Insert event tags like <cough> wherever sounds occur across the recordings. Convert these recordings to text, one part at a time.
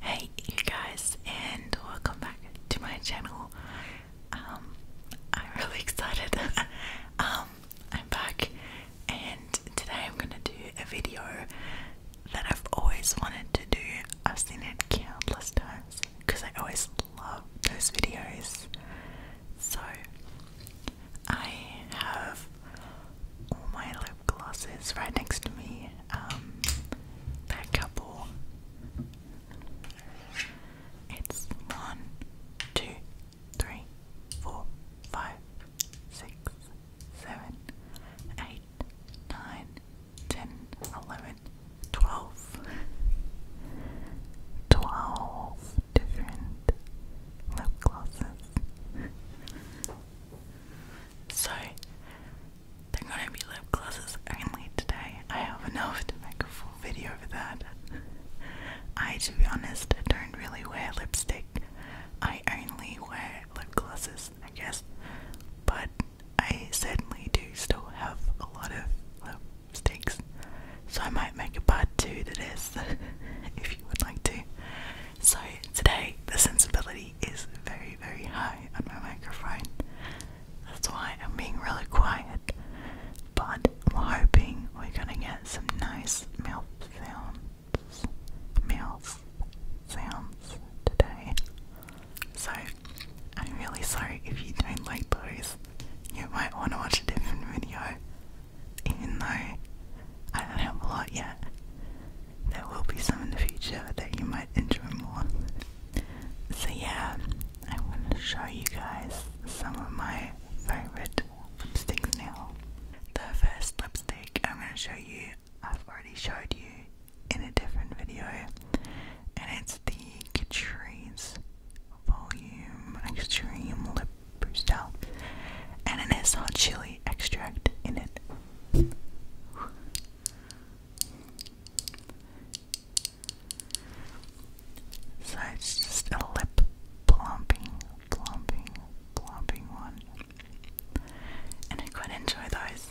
Hey you guys and welcome back to my channel. Um, I'm really <laughs> excited. Um, I'm back and today I'm gonna do a video that I've always wanted to do. I've seen it countless times because I always love those videos. So I have all my lip glosses right next to me. Um, that couple. It's one, two, three, four, five, six, different lip glosses. So they're gonna be lip glosses only today. I have enough to make a full video of that. I, to be honest, don't really wear lipstick. I only wear lip glosses, I guess. But I certainly do still have a lot of lipsticks. So I might make a part two to this <laughs> if you would like to. So today, the sensibility quality is very, very high on my microphone. That's why I'm being really quiet. But I'm hoping we're gonna get some nice mouth sounds, mouth sounds today. So I'm really sorry if you don't like those. You might want to watch a different video, even though I don't have a lot yet there will be some in the future that you might enjoy more. So yeah, I want to show you guys some of my favorite lipsticks now. The first lipstick I'm going to show you, I've already showed you in a different video, and it's the Catrice Volume Extreme Lip Booster, and it has hot chili extract in it. So it's just a lip plumping, plumping, plumping one. And I quite enjoy those.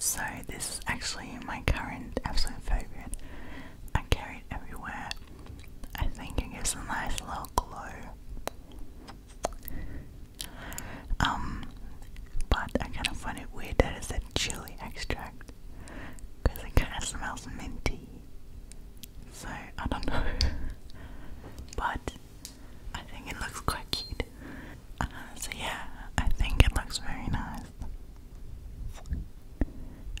So, this is actually my current absolute favourite. I carry it everywhere. I think it gives a nice little glow. Um, but I kind of find it weird that it said chili extract because it kind of smells minty. So I don't know, <laughs> but I think it looks quite cute. Uh, so yeah, I think it looks very nice.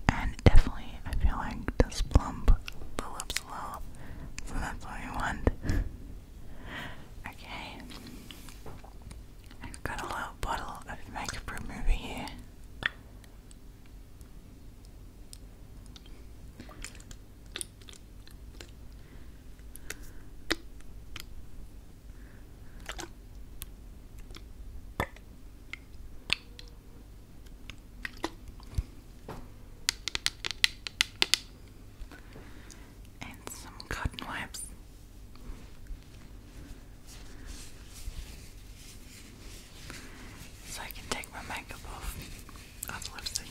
And definitely, I feel like this plump the lips a little, so that's what I want. Okay. I've got a little bottle of makeup remover here and some cotton wipes. So I can take my makeup off of the lipstick.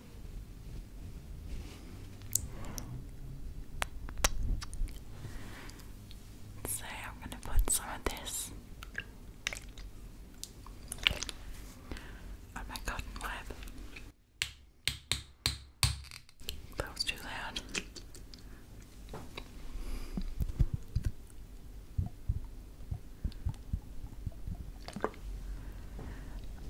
So I'm going to put some of this on my cotton web. That was too loud.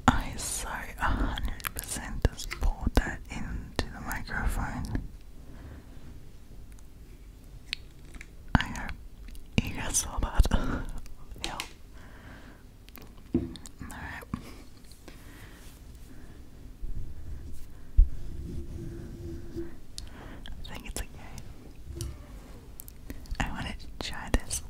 I so 100% just poured that into the microphone. I hope you guys saw that. Hell. <laughs> Alright. I think it's okay. I wanted to try this.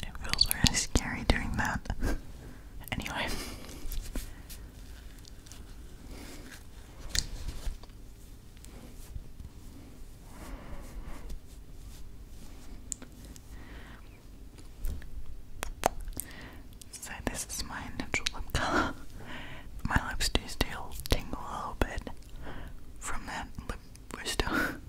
It feels really scary doing that. <laughs> anyway. So this is my natural lip color. <laughs> My lips do still tingle a little bit from that lip booster.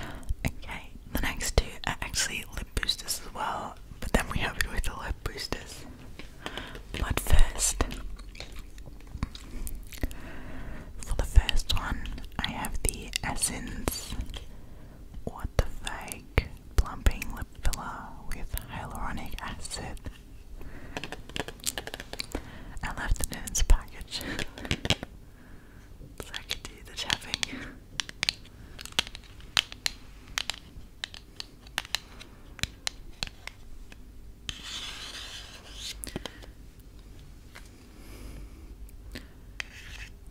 <laughs> okay, the next two are actually lip boosters as well, but then we have it with the lip boosters. But first, for the first one, I have the Essence the fake plumping lip filler with hyaluronic acid and left it in its package so I could the tapping.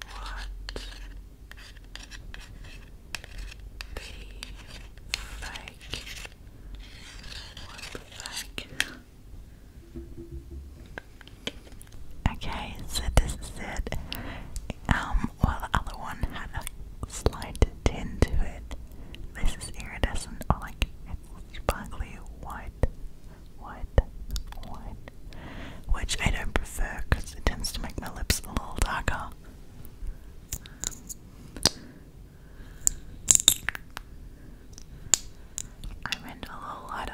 What? The flag. What the flag? Okay, so this is it. Um, while the other one had a slight tint to it, this is iridescent like sparkly white, white, white which I don't prefer because it tends to make my lips a little darker. I went a little lighter.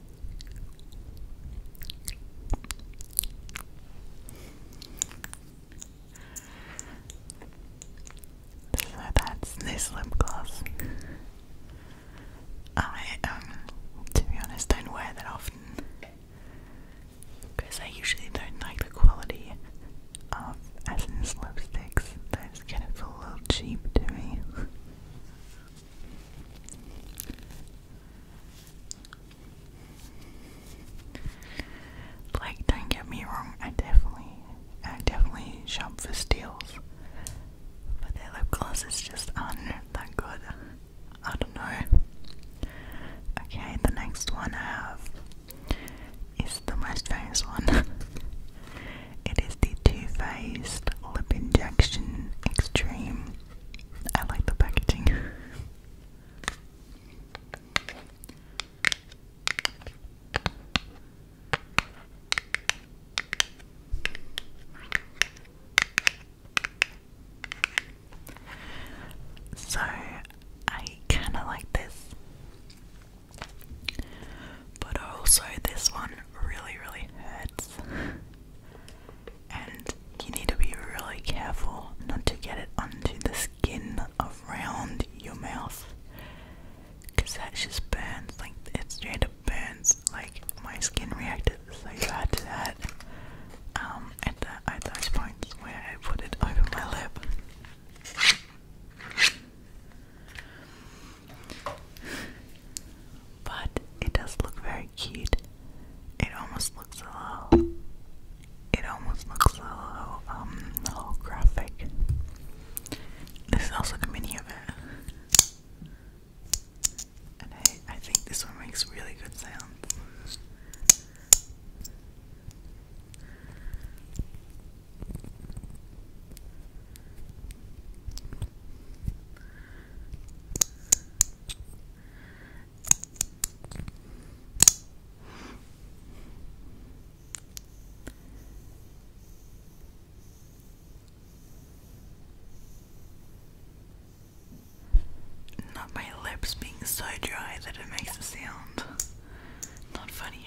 So that's this lip gloss. I, um, to be honest, don't wear that often because I usually don't like the quality of Essence lipsticks. Those kind of a little cheap to me. Like, don't get me wrong, I definitely, I definitely shop for steals, but their lip glosses just aren't that good. I don't know. Okay, the next one I is the most famous one. <laughs> it is the Too Faced Lip Injection Extreme I like the packaging. <laughs> So I kind of like this, but also this one really, really hurts. <laughs> And you need to be really careful not to get it onto the skin around your mouth because that just burns, like it straight up burns. Like my skin reacted so bad to that um, at, the, at those points where I put it over my lip but it does look very cute. It almost looks a little. It almost looks a little um, holographic. This is also the mini of it, and I I think this one makes really good sounds. Not my lips being so dry that it makes a sound. Not funny.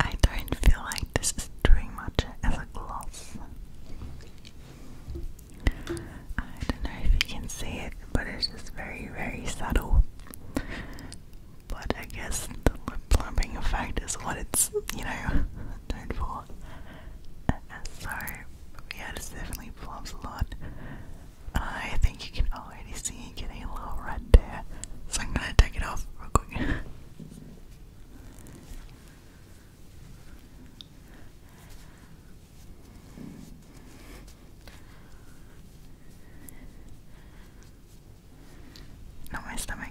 I don't feel like this is doing much as a gloss. I don't know if you can see it, but it's just very, very subtle. But I guess the lip plumping effect is what it's, you know, <laughs> known for. Uh, so, yeah, this definitely plumps a lot. I think you can already see it getting a little red there, so I'm gonna take it off real quick. <laughs> Not my stomach.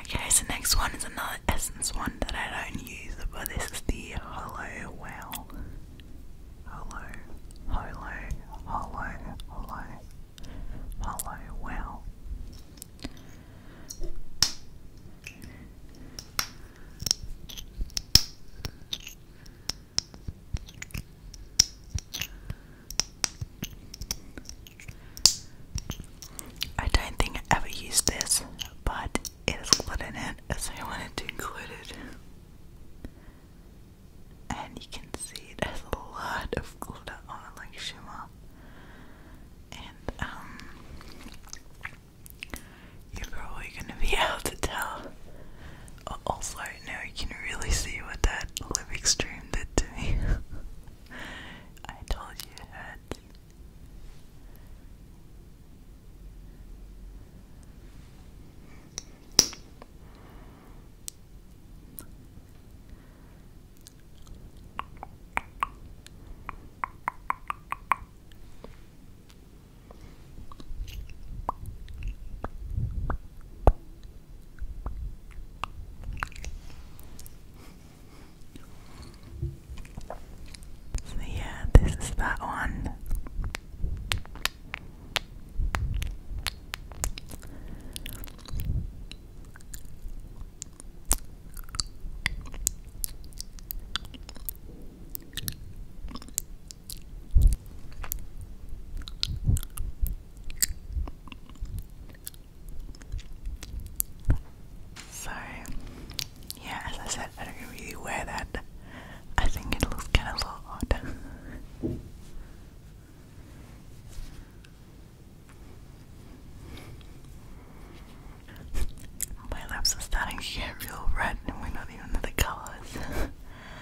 okay, so next one is another essence one that I don't use, but this is the Hollow Wow. Hollow, Hollow, Hollow, Hollow, hollow well. I don't think I ever used this, but it is included in it, so I wanted to include it. And you can see it has a lot of glitter on it, like And um, you're probably gonna be <laughs> able to tell. Also, now you can really see what that lip stream did to me. <laughs> I told you it so, yeah, this is that one. So, yeah, as I said, I don't really wear that. I think it looks kind of odd. <laughs> My lips are starting to get real red and we're not even in the colours.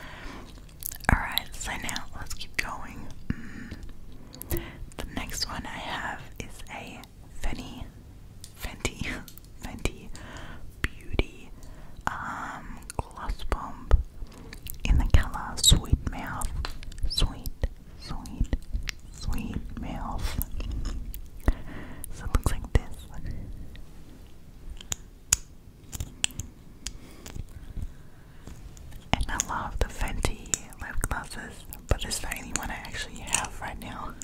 <laughs> Alright, so now let's keep going. Mm. The next one I have is a Fenty, Fenty, <laughs> Fenty Beauty um, Gloss Bomb in the colour Sweet Mouth, Sweet sweet, sweet mouth. So it looks like this. And I love the Fenty lip glosses, but it's the one I actually have right now.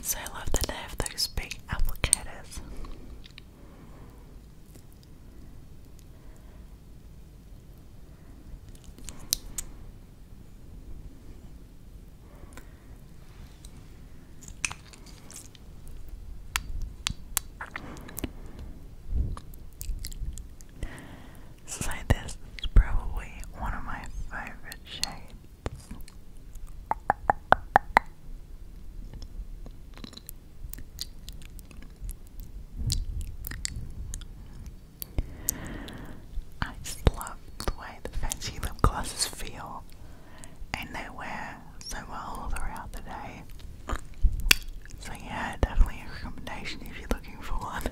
So I love that they have those big applicators. So this is probably one of my favorite shades. I just love the way the fancy lip glosses feel and they wear so well throughout the day. So yeah, definitely a recommendation if you're looking for one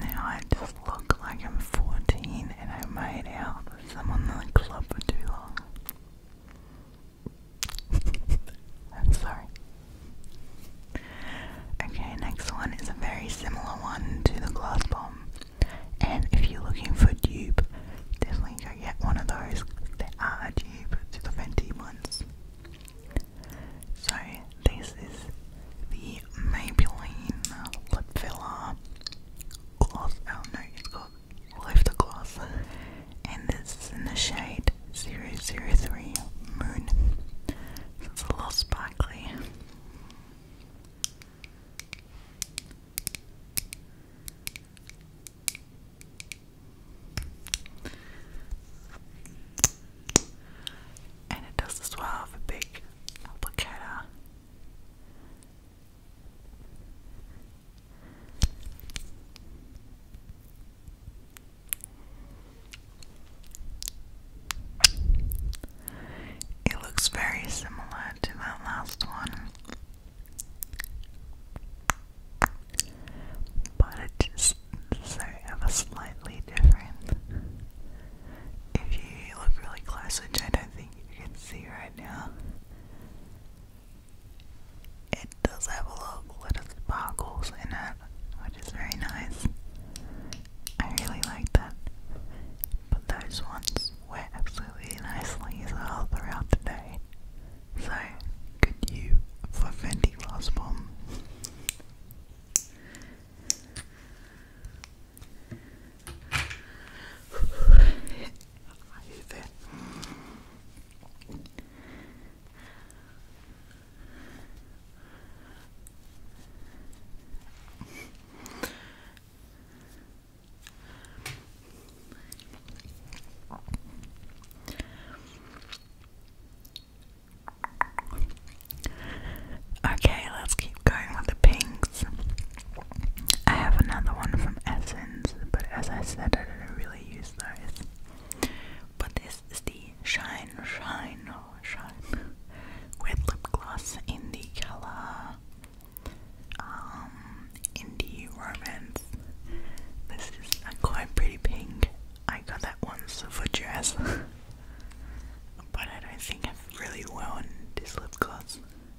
now I just look like I'm 14 and I made out I'm on the club for too long. <laughs> I'm sorry. Okay, next one is a very similar one to the glass bomb. And if you're looking for a definitely go get one of those. They are a dupe the Fenty ones. So, this is the Maybelline Lip gloss. Oh no, it's called Lift Gloss. And this is in the shade 003 Moon. So it's a little sparkly. And it does as well have a big applicator it looks very similar to that last one, but it just so ever slightly different. If you look really close, which I don't you can see right now. It does have a little glitter sparkles in it, which is very nice. I really like that. But those ones were absolutely nicely as well throughout the day. So, good you for Fenty Glass Bomb. Ayude. Okay, let's keep going with the pinks. I have another one from Essence, but as I said, I didn't really use those. But this is the Shine, Shine, oh, Shine Wet Lip Gloss in the color um, Indie Romance. This is a quite pretty pink. I got that once for dress, <laughs> but I don't think I've really worn this lip gloss.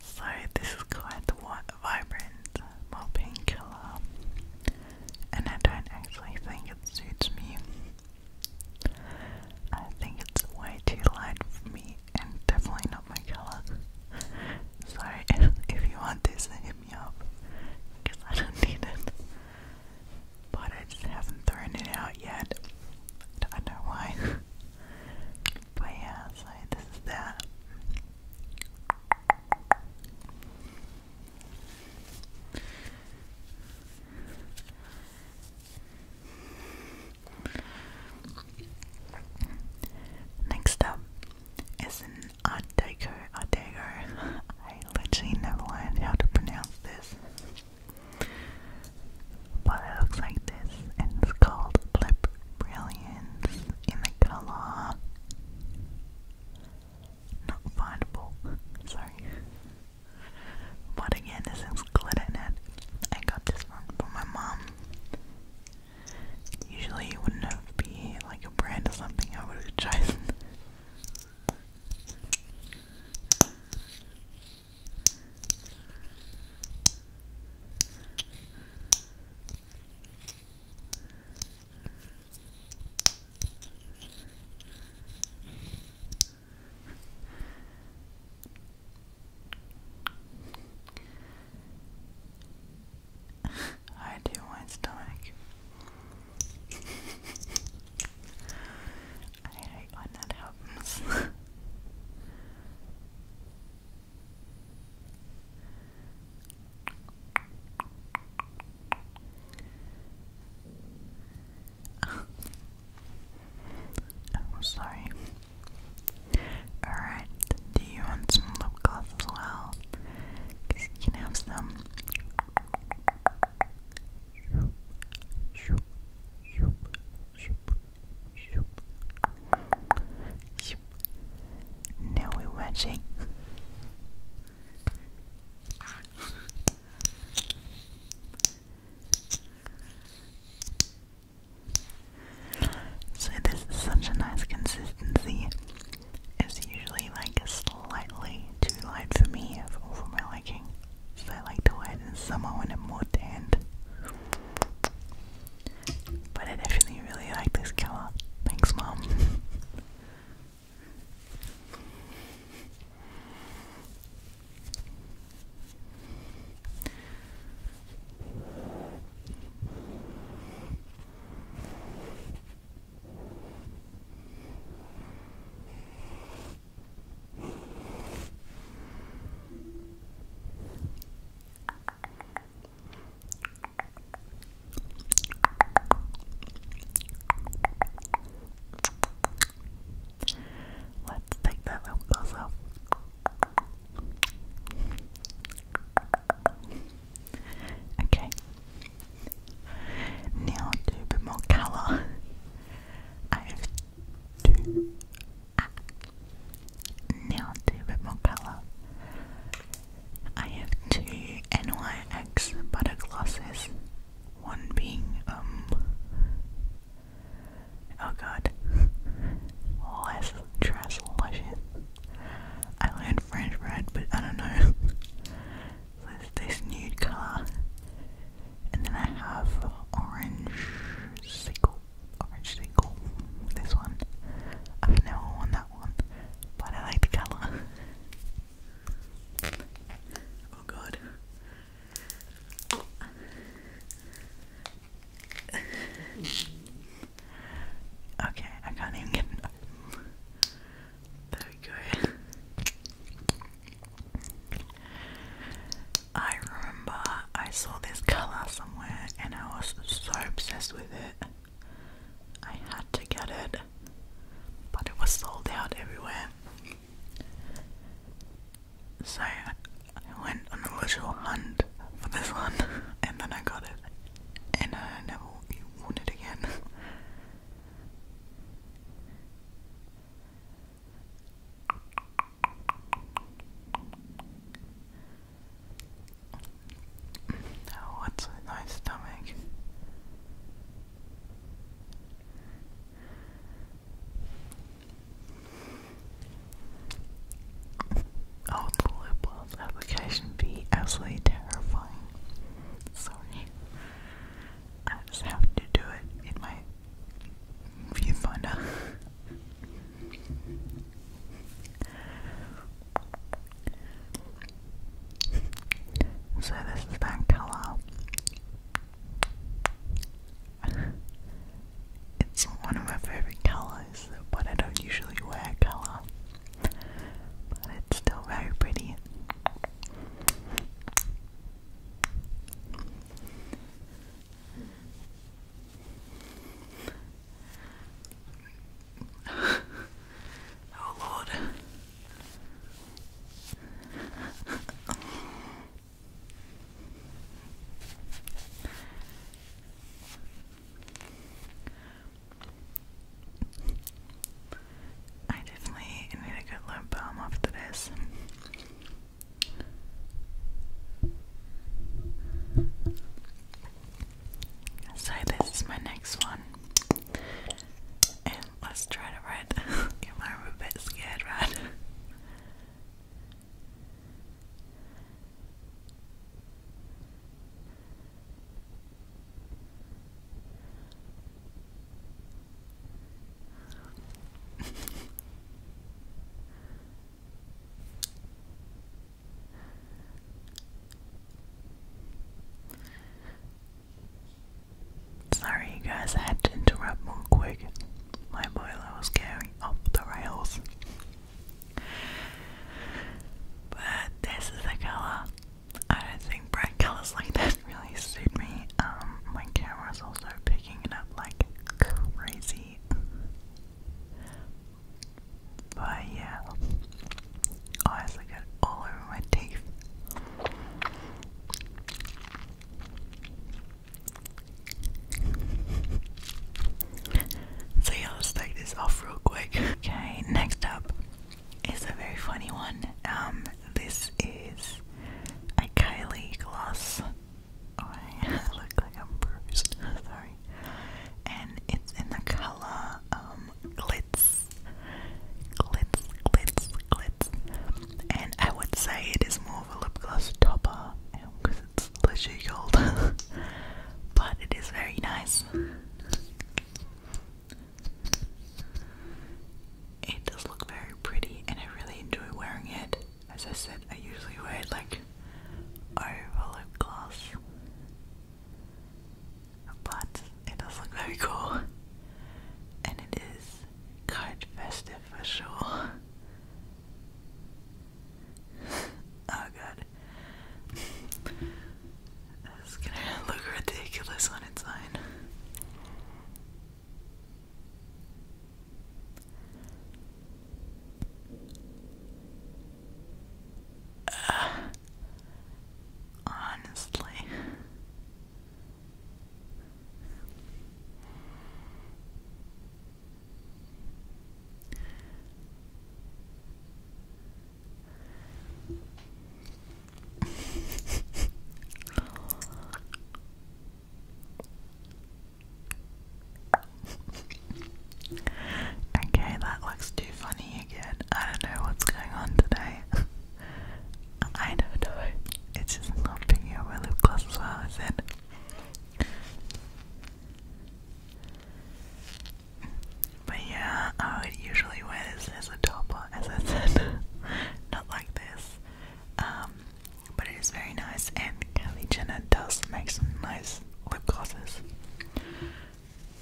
So this is quite the vibrant mopping color, and I don't actually think it suits me. I think it's way too light for me, and definitely not my color. Sorry if, <laughs> if you want this, hit me up, because I don't need it but I just haven't thrown it out yet. I don't know why. <laughs> but yeah, so this is that. Next up is an Art Deco. Art Deco. <laughs> I literally never learned how to pronounce this. But it looks like this, and it's called Lip Brilliance in the color. Not findable, sorry. But again, this is glitter net. I got this one from my mom. Usually, it wouldn't have like a brand or something I would have <laughs> chosen. I do my stomach. I hate that happens. I'm sorry. Alright, do you want some lip gloss as well? Because you can have some. Now we're watching. so this is such a nice consistency. It's usually like a slightly too light for me, for my liking. So I like to add it in summer when I'm more tanned. But I definitely really like this color. Thanks, Mom. Let's take that up close Okay, now to put more colour. I have two. Ah. Now to put more colour. I have two NYX butter glosses. One being, um, oh god, less trash I learned French bread, but I don't know with this nude colour. And then I have orange sequel, orange sequel, this one. I've never worn that one, but I like the colour. Oh god. okay, I can't even get it there we I remember I saw this colour somewhere and I was so obsessed with it. I had to get it, but it was sold out everywhere. So I went on a little hunt for this one and then I got it and I never won it again. Now, oh, what's a nice stomach? Oh, the lip gloss application be absolutely terrifying. Sorry. I just have to do it in my viewfinder. <laughs> so this is that colour. it's one of my favourite colours, but I don't usually wear colour. But it's still very pretty oh Lord. I definitely need a good lip balm after this. So this is my next one. And let's try to write. you might be a bit scared, right? Sorry, you guys, I had to interrupt more quick. My boiler was going off the rails. But this is a color. I don't think bright colors like that really suit me. Um, my camera's also picking it up like crazy. But yeah, I also get all over my teeth. So yeah, let's take this off real quick. Okay, next up is a very funny one. Um, this is a Kylie gloss. I <laughs> look like I'm bruised, <laughs> sorry. And it's in the color um, glitz, glitz, glitz, glitz. And I would say it is more of a lip gloss topper because um, it's literally gold, <laughs> but it is very nice it does look very pretty and I really enjoy wearing it. As I said, I usually wear it like over lip gloss. But it does look very cool. And it is quite festive for sure. <laughs> oh god. It's gonna look ridiculous on its own. Uh, honestly okay, that looks too funny again. I don't know what's going on today. <laughs> I don't know. It's just not picking up my lip gloss as well, But yeah, I would usually wear this as a topper, as I said. <laughs> not like this. Um, but it is very nice and Kylie Jenner does make some nice lip glosses.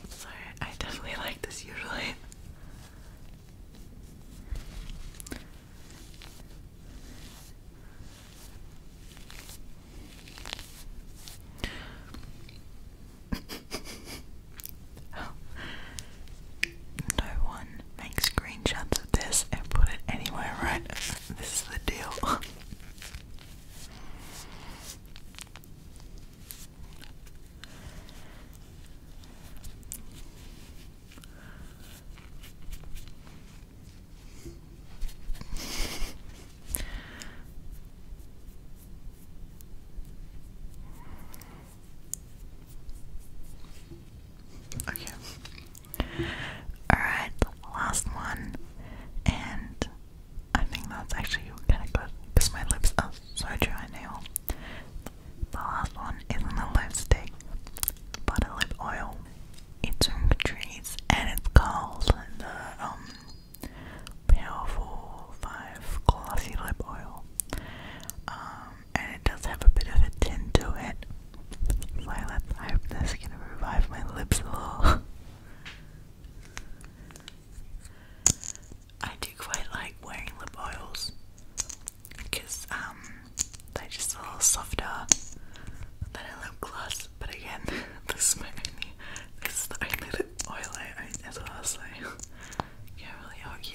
So I definitely <laughs> like this usually. <laughs> No one can make screenshots of this and put it anywhere, right? <laughs> This is the deal. Okay. Alright, last one. And I think that's actually kind of good because my lips are oh, so dry now. The last one is a lipstick, but lip oil. It's from Catrice and it's called the um, Powerful 5 Glossy Lip Oil. Um, and it does have a bit of a tint to it. So I, gonna revive my lips a little. I do quite like wearing lip oils because um they're just a little softer than a lip gloss. But again, <laughs> this is my only this is the only lip oil I own as well, so <laughs> can't really argue.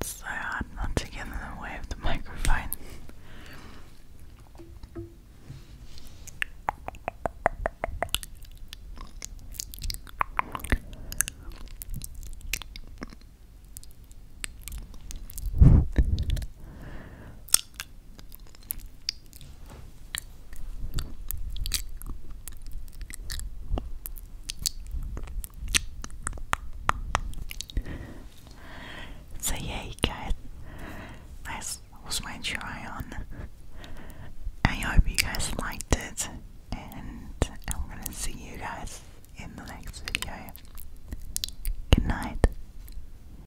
it's so hard not to get in the way of the microphone. So yeah, guys, that was my try on. I hope you guys liked it, and I'm gonna see you guys in the next video. Good night.